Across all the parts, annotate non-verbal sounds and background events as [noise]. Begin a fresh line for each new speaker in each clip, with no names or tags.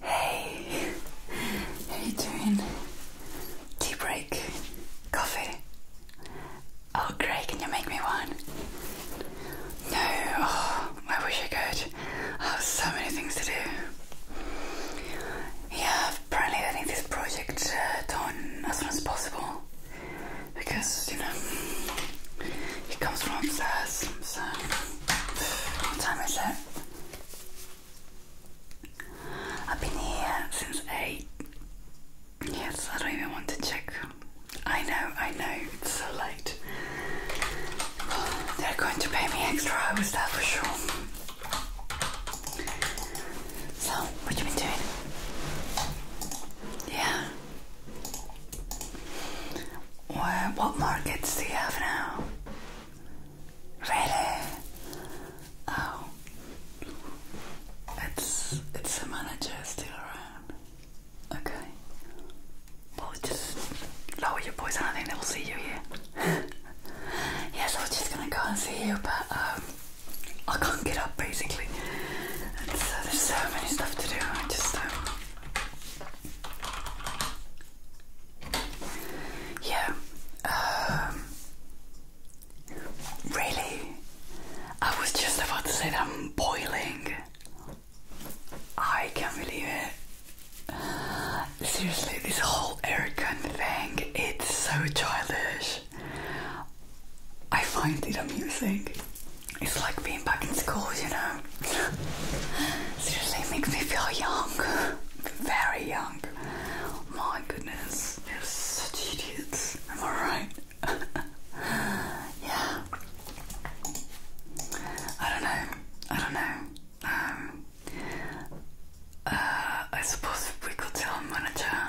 Hey, how you doing? Tea break, coffee. Oh, great! Can you make me one? No, oh, I wish I could. I have so many things to do. Yeah, apparently I this project uh, done as soon as possible because you know it comes from upstairs. So what time is it? I've been here since eight. Yes, I don't even want to check. I know, I know it's so late. They're going to pay me extra hours, that for sure. So, what you been doing? Yeah. Well, what markets do you have now? Really? Oh, it's it's a manager still around. Okay. Well, just lower your voice. I think they will see you here. [laughs] yes, I was just gonna go and see you, but um, I can't get up basically. so there's so many stuff to do. I just um, yeah. Um, really, I was just about to say that I'm boiling. I can't believe it. Seriously, this whole aircon thing, it's so childish. I find it amusing. It's like being back in school, you know? Seriously, it makes me feel young. Very young. My goodness, you're such idiots. Am I right? [laughs] yeah. I don't know. I don't know. Um, uh, I suppose we could tell our manager,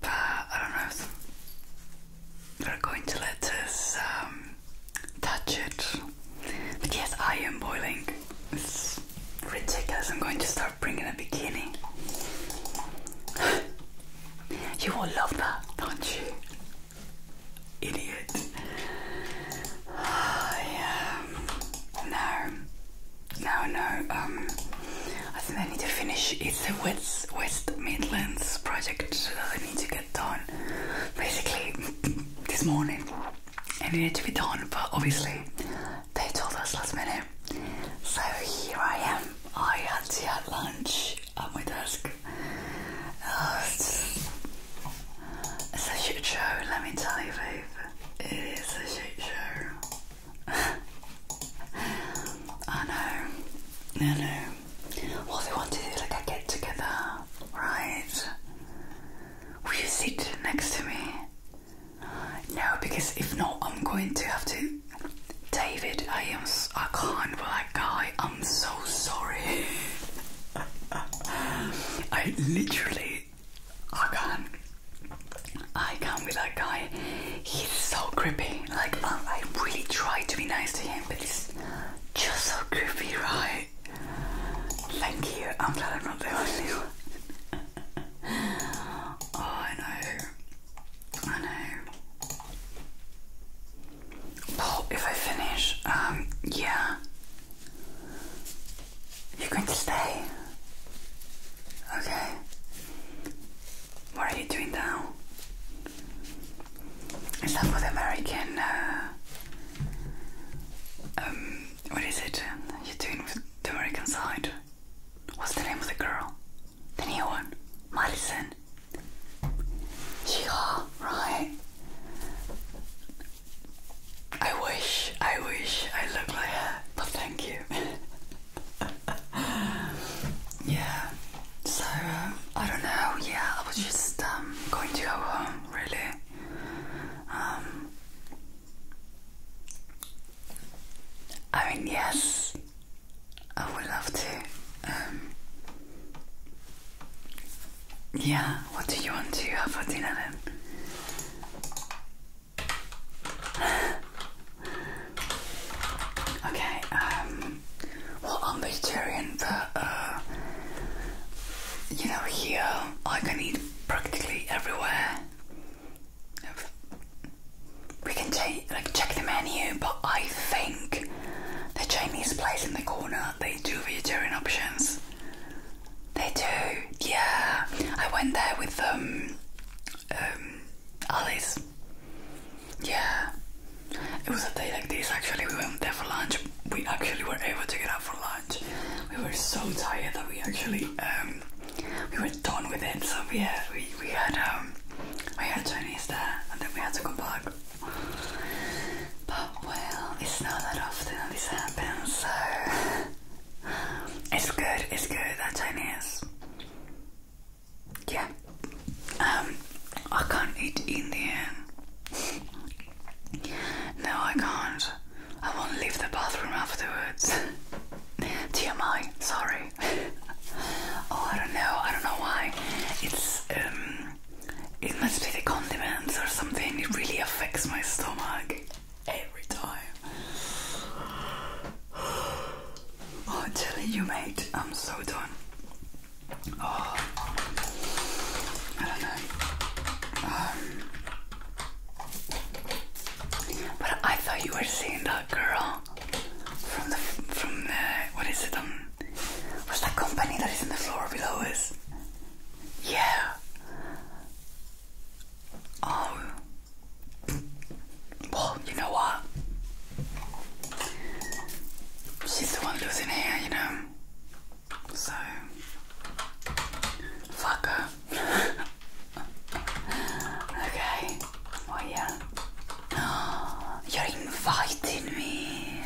but I don't know if they're going to let us um, touch it. But yes, I am boiling. It's ridiculous. I'm going to start bringing a bikini. [gasps] you will love that, don't you? idiot. [sighs] yeah. No, no, no. Um, I think I need to finish. It's the West Midlands project I need to get done. Basically, this morning, it needed to be done, but obviously, they told us last minute. So here I am. I had to have lunch on my desk. it's, a shit show, let me tell you, babe. It is a shit show. [laughs] I know, I know. What they want to do like a get together, right? Will you sit next to me? No, because if not, I'm going to have to. David, I am. I can't guy, I'm so sorry. [laughs] I literally, I can't. I can't be that guy. He's so creepy. Like I, really tried to be nice to him, but he's just so creepy, right? Thank you. I'm glad I'm not the only one. oh, I know. I know. Well, if I finish, um, yeah. You're going to stay? Okay. What are you doing now? Is that what American, uh, um, what is it you're doing with the American side? What's the name of the girl? The new one? Madison? Yeah, right. I wish, I wish I look like her, but thank you. [laughs] yeah, so uh, I don't know, yeah, I was just um, going to go home, really. Um, I mean, yes, I would love to. Um, yeah, what do you want to have for dinner then? [sighs] okay, um, well, I'm vegetarian, but uh, you know, here I can eat practically everywhere. We can take, like check the menu, but I think the Chinese place in the corner they do vegetarian options. They do, yeah. I went there with um, um, Alice. Yeah, it was a day like this. Actually, we went there for lunch. We actually were able to get out for lunch. We were so tired that we actually um, we were done with it. So yeah, we we had um, we had Chinese there, and then we had to come back. But well, it's not that often this happens, so it's good, it's good that Chinese. Yeah. Um I can't eat Indian. no, I can't. I won't leave the bathroom afterwards. [laughs] TMI, sorry. [laughs] oh, I don't know. I don't know why. It's um it must be the condiments or something. It really affects my stomach every time. Oh, I'm telling you, mate, I'm so done. Oh, I don't know. Um. but I thought you were seeing that girl from the from the what is it um that company that is in the floor below us? Yeah. Oh. Well, you know what? She's the one losing hair, you know? So. Fuck her. [laughs] okay. Well, oh, yeah. [gasps] You're inviting me.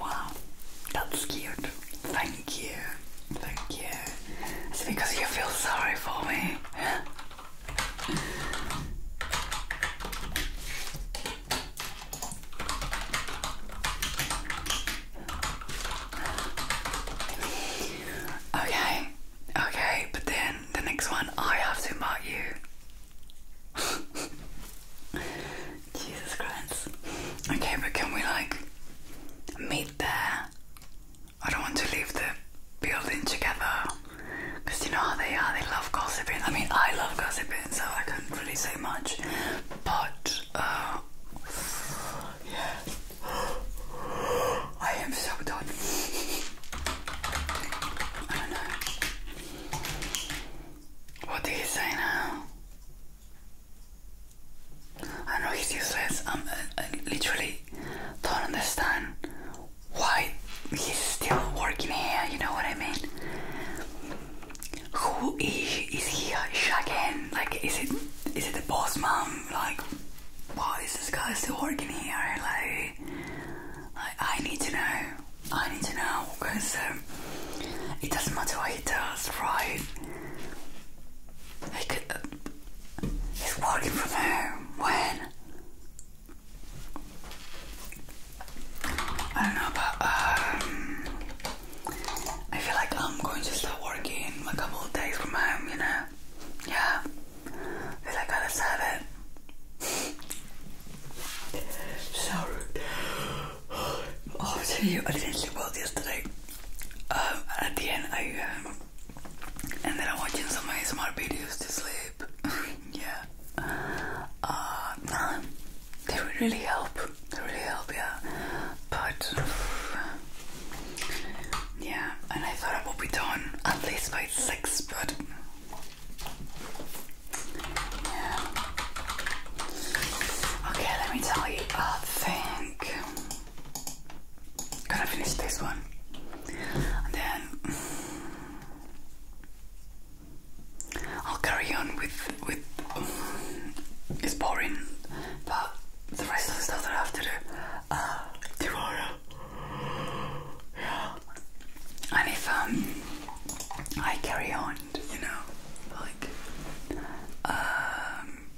Wow, that's cute. Thank you. Thank you. It's because you feel sorry for me. [laughs] okay, okay, but then the next one I have to mark you. [laughs] Jesus Christ. Okay, but can we like meet there? I don't want to leave the building together. Because you know how they are, they love gossiping. I mean, I love gossiping, so I can not really say much. But, uh, yeah. I am so done. I don't know. What did he say now? I know he's useless. I, am uh, uh, literally don't understand why he's still working here. You know what I mean? Who is is he uh, shagging? Like, is it is it the boss mom? Like, why is this guy still working here? Like, I need to know. I need to know because um, it doesn't matter what he does, right? He uh, he's working from home. When? I don't know, but um, I feel like I'm going to start working a couple of days from home, you know? Yeah. I feel like I deserve it. So oh, I'll tell I did not sleep well yesterday. Um, at the end, I um, ended up watching some ASMR videos to sleep. [laughs] yeah. Uh, they really help. They really help, yeah. But yeah, and I thought I would be done at least by six, but yeah. Okay, let me tell you. I think gotta finish this one, and then I'll carry on with with. it's boring, but the rest of the stuff that I have to do uh, Yeah. And if um, I carry on you know, like um,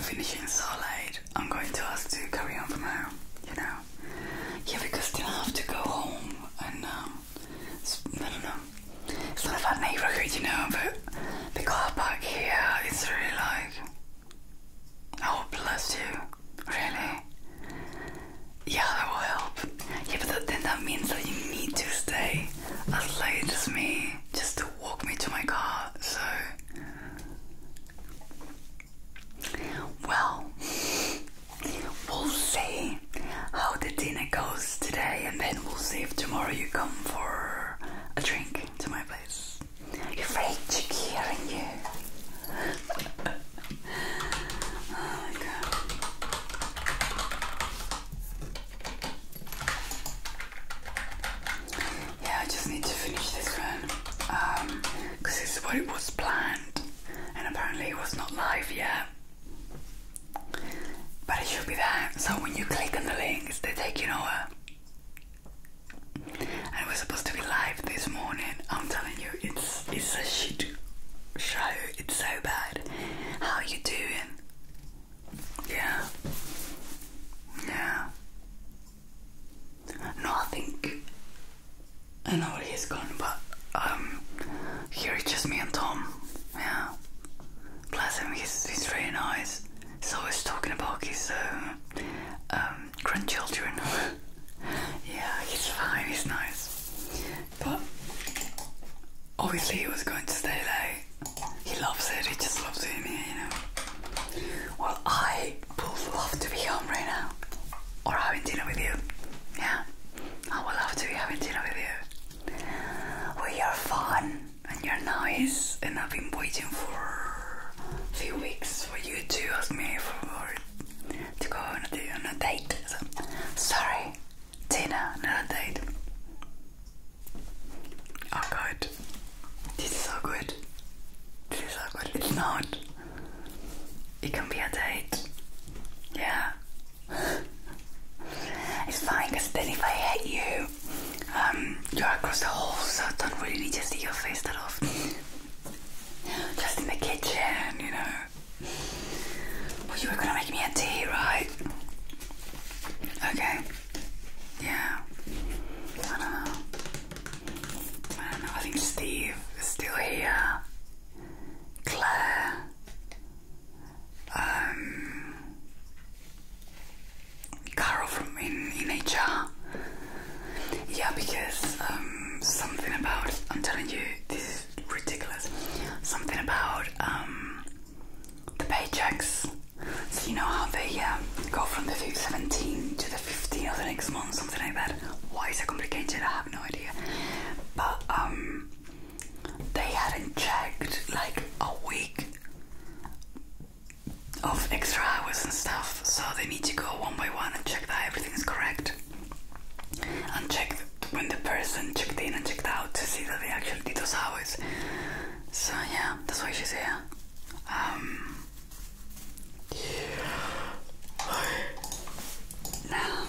finishing solid. I'm going to ask to carry on from now, you know. Yeah, because then I have to go home and um, I don't know. It's not a bad neighborhood, you know, but the car here it's really like. Oh, bless you. Really? Yeah, that will help. Yeah, but then that means that you need to stay as late as me just to walk me to my car, so. Well, we'll see how the dinner goes today, and then we'll see if tomorrow you come for a drink to my place. You're very cheeky, aren't you? [laughs] oh my god. Yeah, I just need to finish this one because um, it's what it was planned, and apparently it was not live yet. But it should be there. So when you click on the links, they take you nowhere. And we're supposed to be live this morning. I'm telling you, it's it's a shit show. It's so bad. How you doing? Yeah. Yeah. No, I think I know where he's gone, but um, here it's just me and Tom. Yeah. Bless him, he's he's really nice. He's always talking about his um, um grandchildren. [laughs] yeah, he's fine. He's nice. But obviously he was going to stay late. He loves it, he just loves it here, you know. Well, I would love to be home right now. Or having dinner with you. Yeah. I would love to be having dinner with you. We are fun and you're nice and I've been waiting for a few weeks for you to ask me for to go on a, on a date. sorry, Tina, another date. Oh god. This is so good. This is so good. It's not. It can be a date. Yeah. [laughs] it's fine because then if I hate you, um, you're across the hall, so I don't really need to see your face that often. Just in the kitchen, you know. Well, you were gonna make me a tea, right? Okay. Yeah. I don't know. I don't know. I think Steve is still here. Claire. Um. Carol from in, in HR. Yeah, because um, something about I'm telling you, this is ridiculous. Something about um, the paychecks. So you know how they um, go from the 17th to the 15th of the next month, something like that. Why is it complicated? I have no idea. But um, they hadn't checked like a week of extra hours and stuff, so they need to go one by one and check that everything is correct, and check when the person checked in and checked out to see that they actually did those hours. So yeah, that's why she's here. Um, now,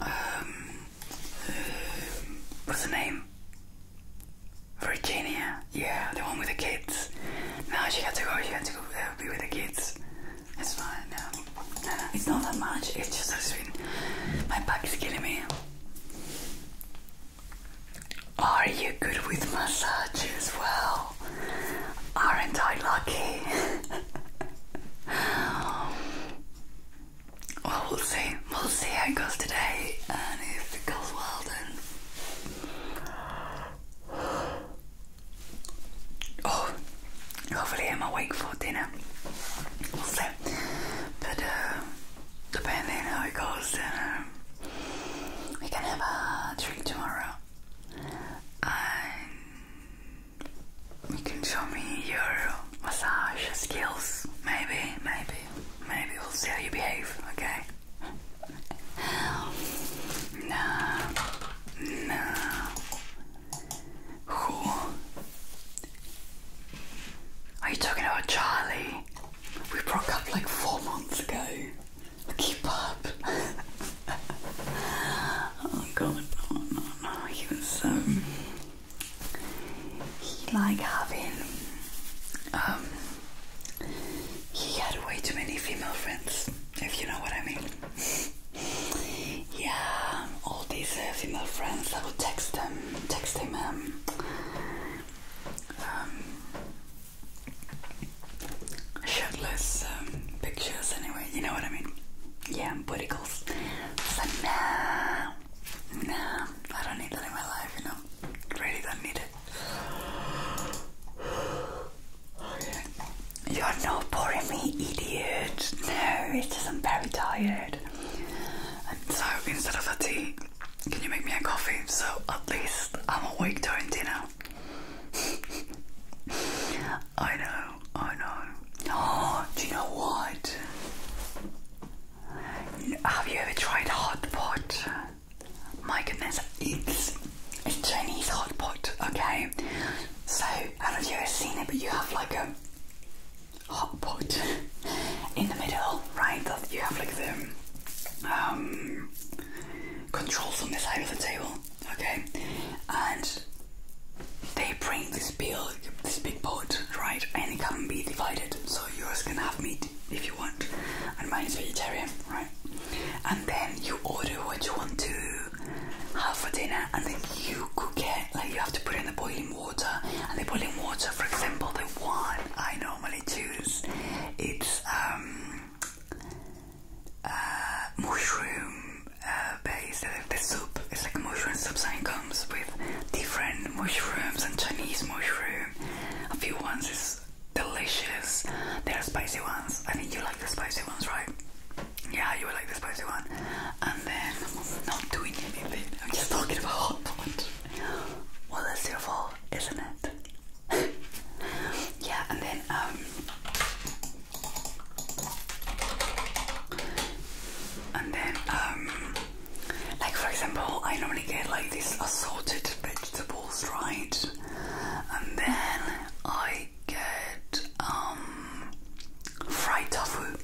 um, uh, what's her name? Virginia, yeah, the one with the kids. Now she had to go. She had to go uh, be with the kids. It's fine. No. no, no, it's not that much. It's just that my back is killing me. Are you good with massage as well? Aren't I lucky? [laughs] well, we'll see. We'll see how it goes today, and if it goes well, then. Oh, hopefully I'm awake for dinner. But uh, depending how it goes, then uh, we can have a drink tomorrow. And you can show me your massage skills. Maybe, maybe, maybe we'll see how you behave, okay? No, [laughs] no. Who are you talking about Charlie? We broke up like four months ago. Keep up. [laughs] oh god, oh no, no, he was so. Um, he like having. Um. He had way too many female friends, if you know what I mean. yeah, all these uh, female friends, I would text them text him um, shirtless um, pictures anyway, you know what I mean? Yeah, booty calls. nah, nah, I don't need that in my life, you know? Really don't need it. You're not boring me, idiot. No, it's just I'm very tired so instead of a tea, can you make me a coffee? So at least I'm awake during dinner. [laughs] I know, I know. Oh, do you know what? Have you ever tried hot pot? My goodness, it's a Chinese hot pot, okay? So, I don't know if you've seen it, but you have like a hot pot in the middle, right? That you have like the um, controls on this side of the table, okay? And they bring this big, this big pot, right? And it can be divided, so yours can have meat if you want, and mine is vegetarian, right? And then you order what you want to have for dinner, and then you cook it. Like you have to put in the boiling water and they put in water for example the one I normally choose it's um, uh, mushroom uh, based the soup it's like mushroom soup and comes with different mushrooms and Chinese mushroom a few ones is delicious there are spicy ones I think you like the spicy ones right yeah you will like the spicy one and then I'm not doing anything I'm just talking about hot pot well, it's your fault, isn't it? [laughs] yeah, and then um, and then um, like for example, I normally get like these assorted vegetables, right? And then I get um fried tofu.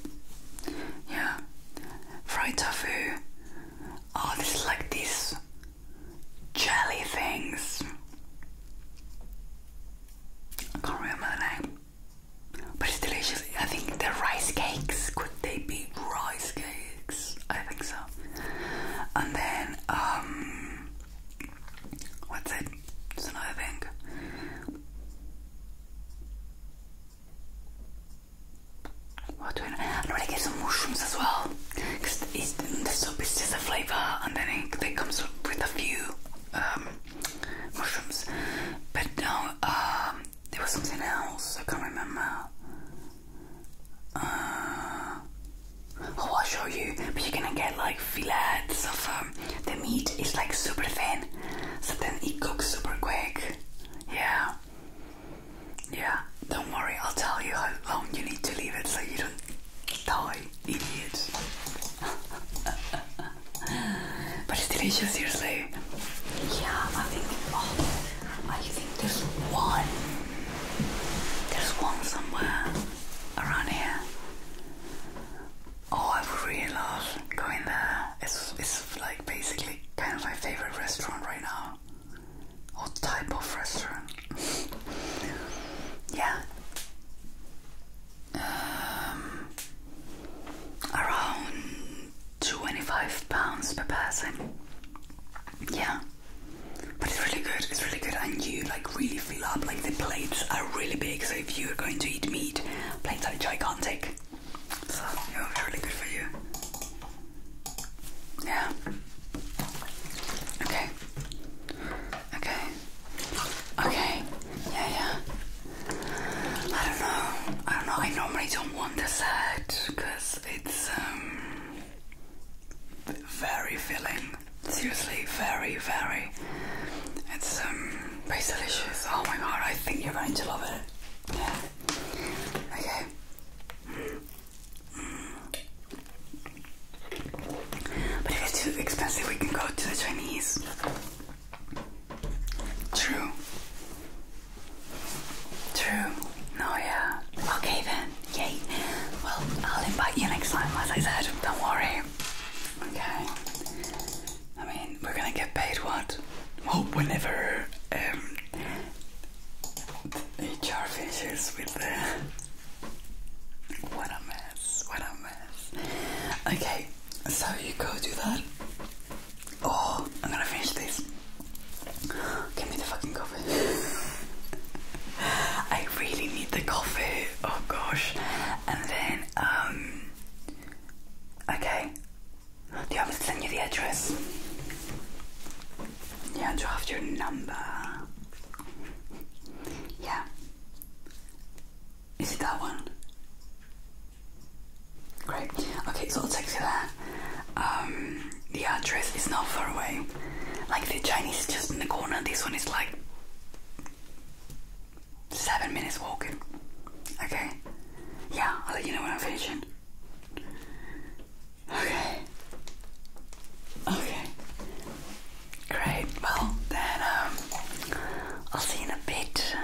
Yeah, fried tofu. Oh, this is like these jelly things. I can't remember the name. But it's delicious. I think they're rice cakes. Could they be rice cakes? I think so. And then, um, what's it? It's another thing. What do I I'm gonna get some mushrooms as well, because the soup is just a flavor, and then it, it comes with a few um, mushrooms. But no, um, there was something else I can't remember. Uh, oh, I'll show you. But you're gonna get like fillets of um, the meat is like super thin, so then it cooks super quick. Yeah, yeah, don't worry, I'll tell you how long you need to leave it so you don't die, idiots. [laughs] but it's delicious, seriously. Yeah, I think, oh, I think there's one. There's one somewhere around here. Oh, I really love going there. It's, it's like basically kind of my favorite restaurant right now. Or type of restaurant. [laughs] yeah. Um, around 25 pounds per person. Yeah. But it's really good, it's really good and you like really fill up, like the plates are really big so if you're going to eat meat, plates are gigantic. So it was really good for you. Yeah. Okay. Okay. Okay. Yeah, yeah. I don't know. I don't know. I normally don't want the set because it's um very filling. Seriously, very, very. It's um, very delicious. Oh my god, I think you're going to love it. Yeah. Okay, but if it's too expensive, we can go to the Chinese. True. True. No, yeah. Okay then. Yay. Well, I'll invite you next time, as I said. Don't worry. Okay. I mean, we're gonna get paid what? oh, whenever um, HR finishes with the what a mess, what a mess. Okay, so you go do that. Oh, I'm gonna finish this. Give me the fucking coffee. [laughs] I really need the coffee. Oh gosh. And then, um, okay, do you want send you the address? Yeah, draft your number. Yeah. Is it that one? Great. Okay, so I'll text you there. Um, the address is not far away. Like the Chinese is just in the corner. This one is like seven minutes walking. Okay. Yeah, I'll let you know when I'm finishing. Okay. Okay. Great. Well, then um, I'll see you in a bit,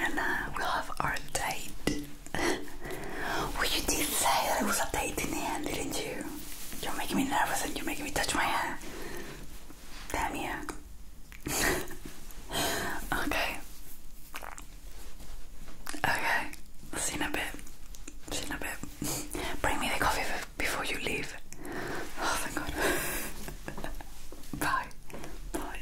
and uh, we'll have our date. [laughs] you did say that it was a didn't you? You're making me nervous, and you're making me touch my hair. Damn you. [laughs] okay. Okay, see in a bit. See in a bit. Bring me the coffee before you leave. Oh, thank God. [laughs] Bye. Bye.